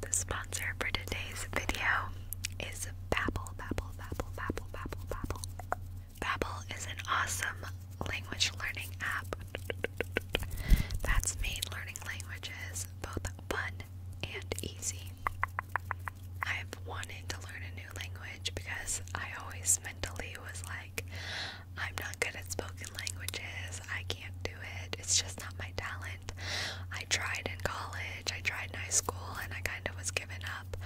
The sponsor for today's video is Babbel, Babbel, Babbel, Babbel, Babbel, Babbel. Babbel is an awesome language learning app that's made learning languages both fun and easy. I've wanted to learn a new language because I always mentally was like, I'm not good at spoken languages, I can't do it's just not my talent. I tried in college, I tried in high school, and I kind of was given up.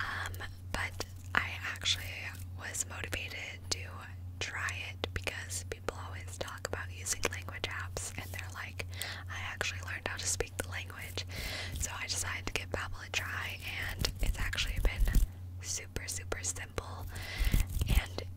Um, but I actually was motivated to try it because people always talk about using language apps, and they're like, I actually learned how to speak the language. So I decided to give Babbel a try, and it's actually been super, super simple. And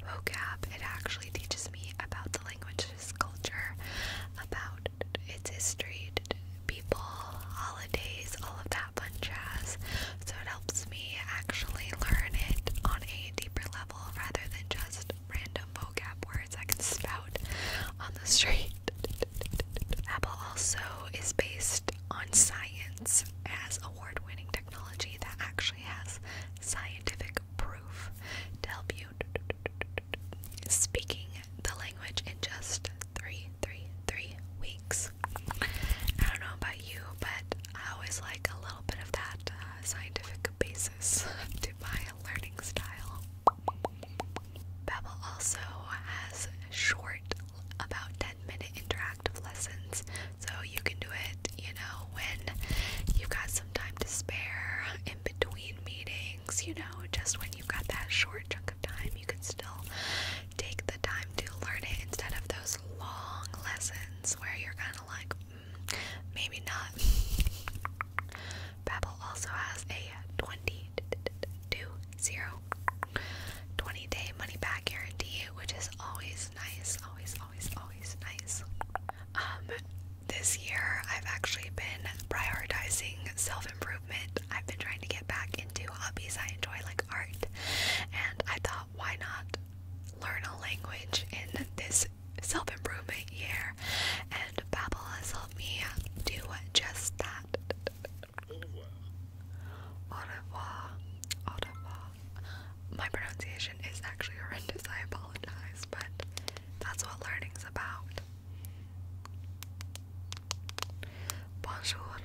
vocab. It actually teaches me about the language's culture, about its history, people, holidays, all of that fun jazz. So it helps me actually learn it on a deeper level rather than just random vocab words I can spout on the street. Apple also is based on science as award winning technology that actually has scientific proof to help you speaking the language in just three, three, three weeks. I don't know about you, but I always like a little bit of that uh, scientific basis to my learning style. Babbel also has short, about 10 minute interactive lessons so you can do it, you know, when you've got some time to spare in between meetings, you know, just when you've got that short chunk of time, you can still take the time to learn it instead of those long lessons where you're kind of like, mm, maybe not. Babbel also has a 20 day money back guarantee, which is always nice, always, always, always nice. Um, this year I've actually been prioritizing self-improvement. I've been trying to get back into hobbies I enjoy like art, and I thought why not learn a language in this self-improvement year? And Babbel has helped me do just that. Au revoir. Au revoir my pronunciation is actually horrendous, I apologize, but that's what learning's about. Bonjour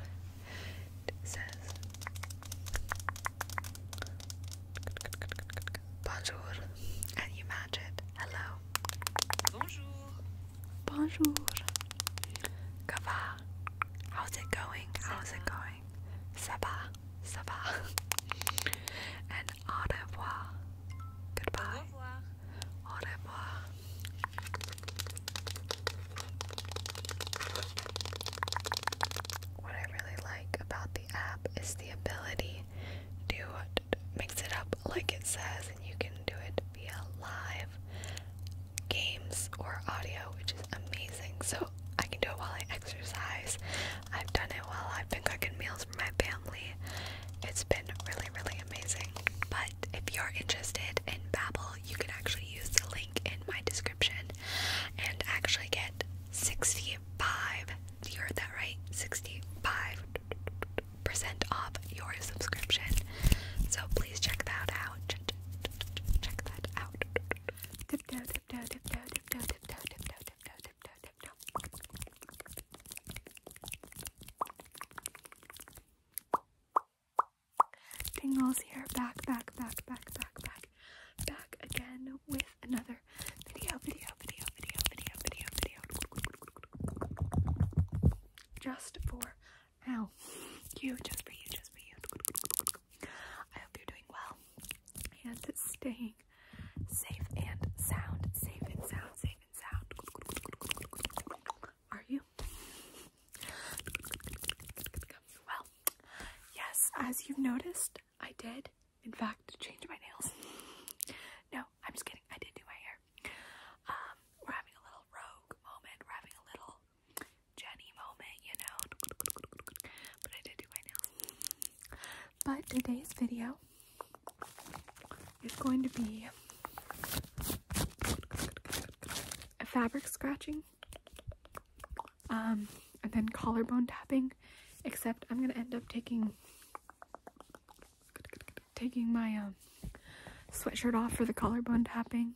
it says Bonjour and you match it. Hello. Bonjour. Bonjour. Kava. How's it going? How's it going? going. Ça va, ça va. And au revoir. Goodbye. Au revoir. What I really like about the app is the ability to mix it up like it says, and you can do it via live games or audio, which is amazing. So I can do it while I exercise. I've done it while I've been cooking meals for my family. It's been really, really amazing. But if you're interested in Babbel, you can actually use the link in my description and actually get 65, you heard that right? 65% off your subscription. So please check that out. Check that out. Tingles here, back, back, back, back, back, back, back again with another video, video, video, video, video, video, video. Just for you, just for you, just for you. I hope you're doing well and staying safe and sound. Safe and sound. Safe and sound. Are you? Well, yes, as you've noticed, I did, in fact, change my nails. No, I'm just kidding. I did do my hair. Um, we're having a little rogue moment. We're having a little Jenny moment, you know. But I did do my nails. But today's video is going to be a fabric scratching, um, and then collarbone tapping. Except I'm gonna end up taking taking my um sweatshirt off for the collarbone tapping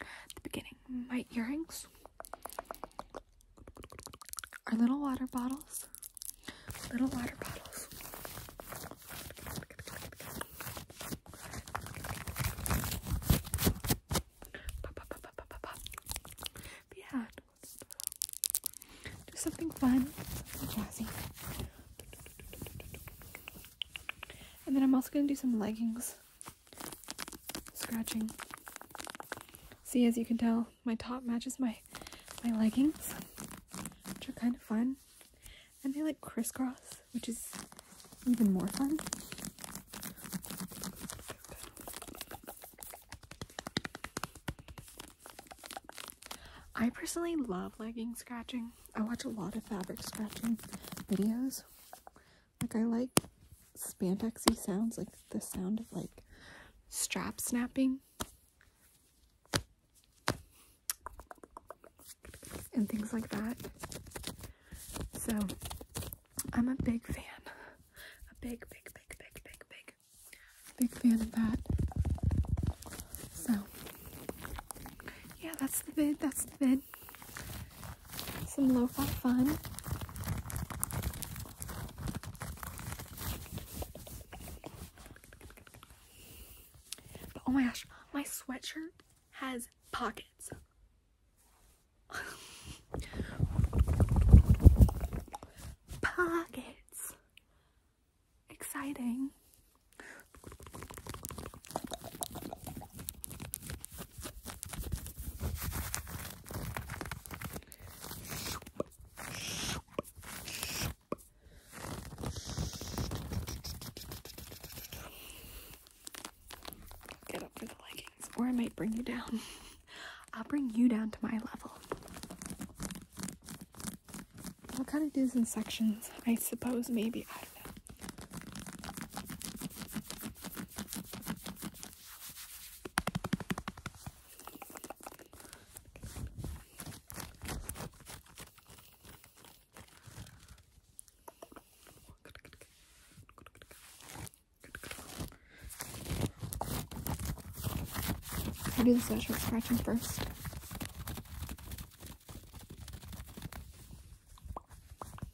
At the beginning, my earrings are little water bottles. Little water bottles. Pop, pop, do something fun, jazzy. And then I'm also gonna do some leggings scratching. See, as you can tell, my top matches my, my leggings, which are kind of fun. And they like crisscross, which is even more fun. I personally love legging scratching. I watch a lot of fabric scratching videos like I like spandexy sounds, like the sound of like strap snapping and things like that. So I'm a big fan. A big, big, big, big, big, big, big fan of that. So yeah, that's the vid. That's the vid some lo-fi fun. oh my gosh, my sweatshirt has pockets. pockets. Exciting. Get up for the leggings, or I might bring you down. I'll bring you down to my level. I'll kind of do this in sections, I suppose, maybe. I I do the social scratching first.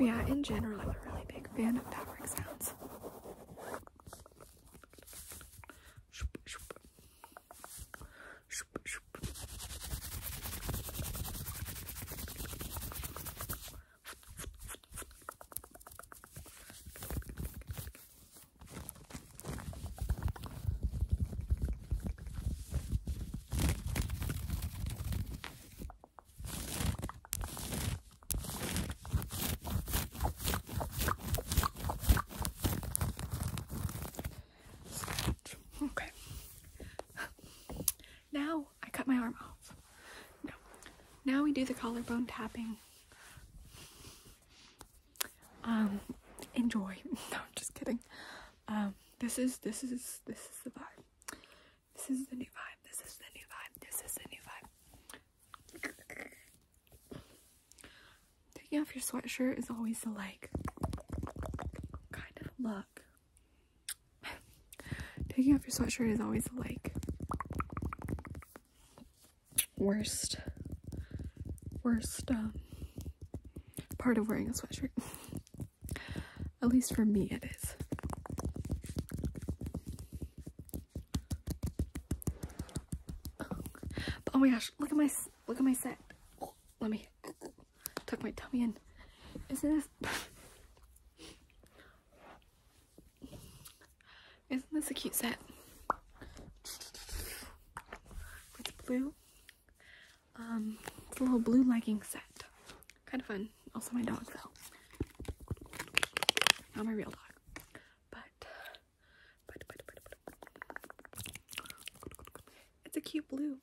yeah, in general, I'm a really big fan of fabric sounds. Okay. Now I cut my arm off. No. Now we do the collarbone tapping. Um, enjoy. No, I'm just kidding. Um, this is this is this is the vibe. This is the new vibe. This is the new vibe. This is the new vibe. Taking off your sweatshirt is always a like kind of look. Taking off your sweatshirt is always a like worst worst um, part of wearing a sweatshirt. At least for me, it is. Oh. my gosh, look at my look at my set. let me tuck my tummy in. Isn't this? Isn't this a cute set? With blue. Um, it's a little blue legging set. Kind of fun. Also my dog though. Not my real dog. But, but, but, but, but. It's a cute blue.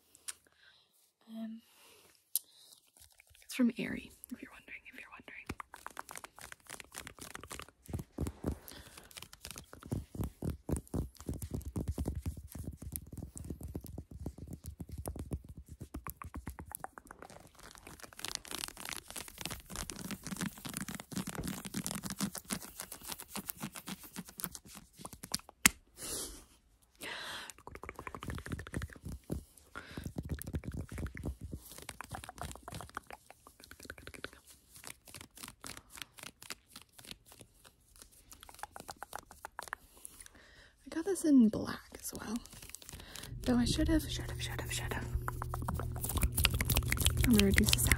Um, it's from Aerie if you're wondering, if you're wondering. I got this in black as well. Though I should have, should have, should have, should have. I'm gonna reduce the sound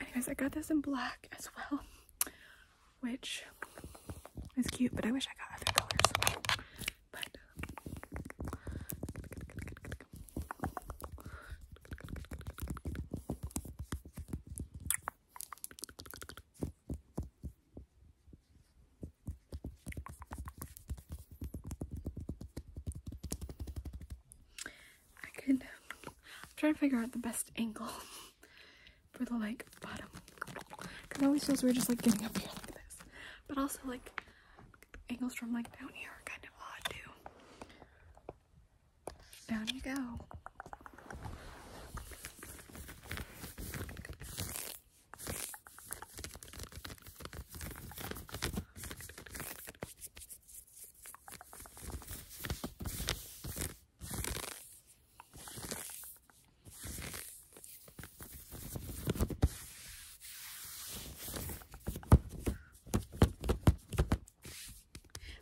Anyways, I got this in black as well, which is cute, but I wish I got other colors. But I could try to figure out the best angle for the like bottom. Cause it always feels weird just like getting up here like this. But also like angles from like down here are kind of odd too. Down you go.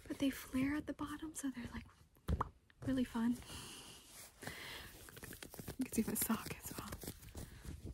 But they flare at the bottom, so they're like really fun. You can see the sock as well.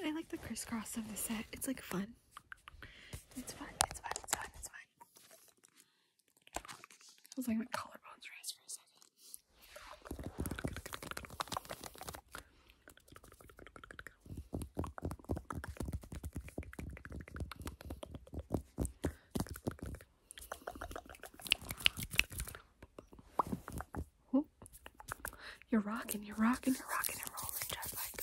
I like the crisscross of the set. It's like fun. It's fun. It's fun. It's fun. It's fun. I was like my collarbones raised for a second. You're rocking, you're rocking, you're rocking and rolling just like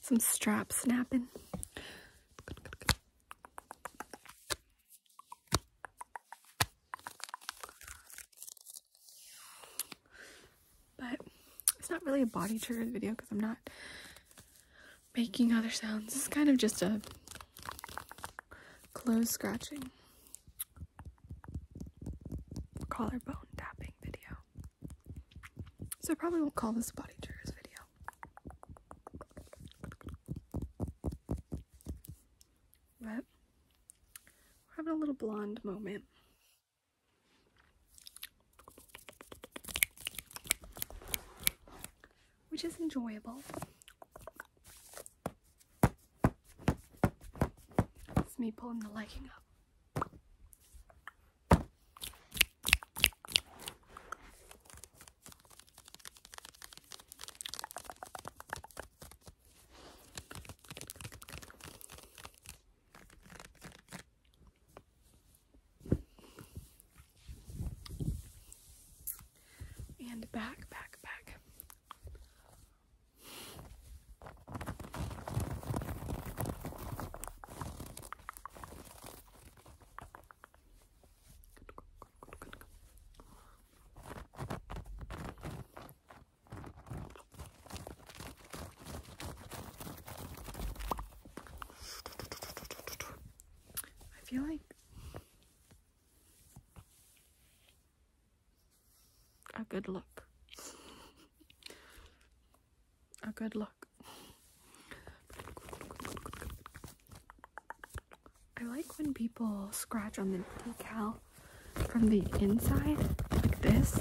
some strap snapping. But it's not really a body trigger video because I'm not making other sounds. It's kind of just a clothes scratching collarbone tapping video. So I probably won't call this body triggers video. But we're having a little blonde moment. Which is enjoyable. It's me pulling the legging up. And back, back, back. I feel like a good look. a good look. I like when people scratch on the decal from the inside, like this.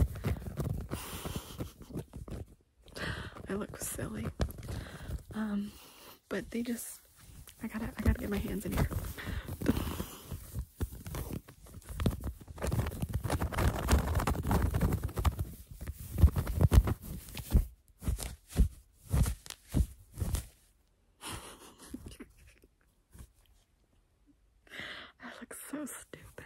I look silly. Um, but they just, I gotta, I gotta get my hands in here. I look so stupid.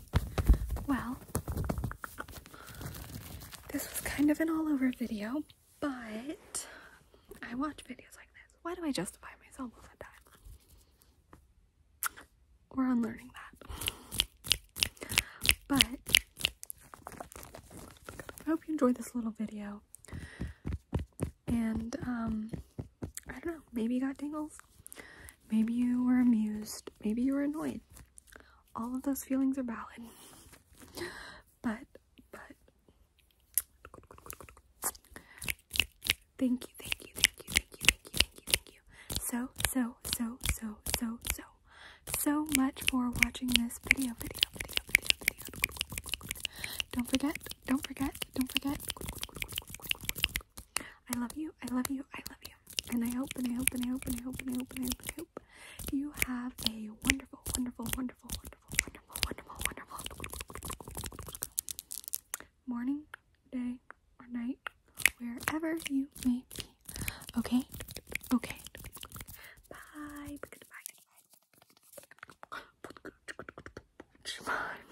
Well, this was kind of an all over video, but I watch videos like this. Why do I justify myself all the time? We're unlearning that. But I hope you enjoyed this little video. And, um, I don't know, maybe you got dangles. Maybe you were amused. Maybe you were annoyed. All of those feelings are valid. But, but. Thank you, thank you, thank you, thank you, thank you, thank you, thank you. So, so, so, so, so, so, so much for watching this video, video, video, video, video. Don't forget, don't forget, don't forget. I love you. I love you. I love you. And I hope and I hope and I hope and I hope and I hope and I hope and I hope you have a wonderful, wonderful, wonderful, wonderful, wonderful, wonderful, wonderful morning, day, or night, wherever you may be. Okay? Okay. Bye. Bye. Bye.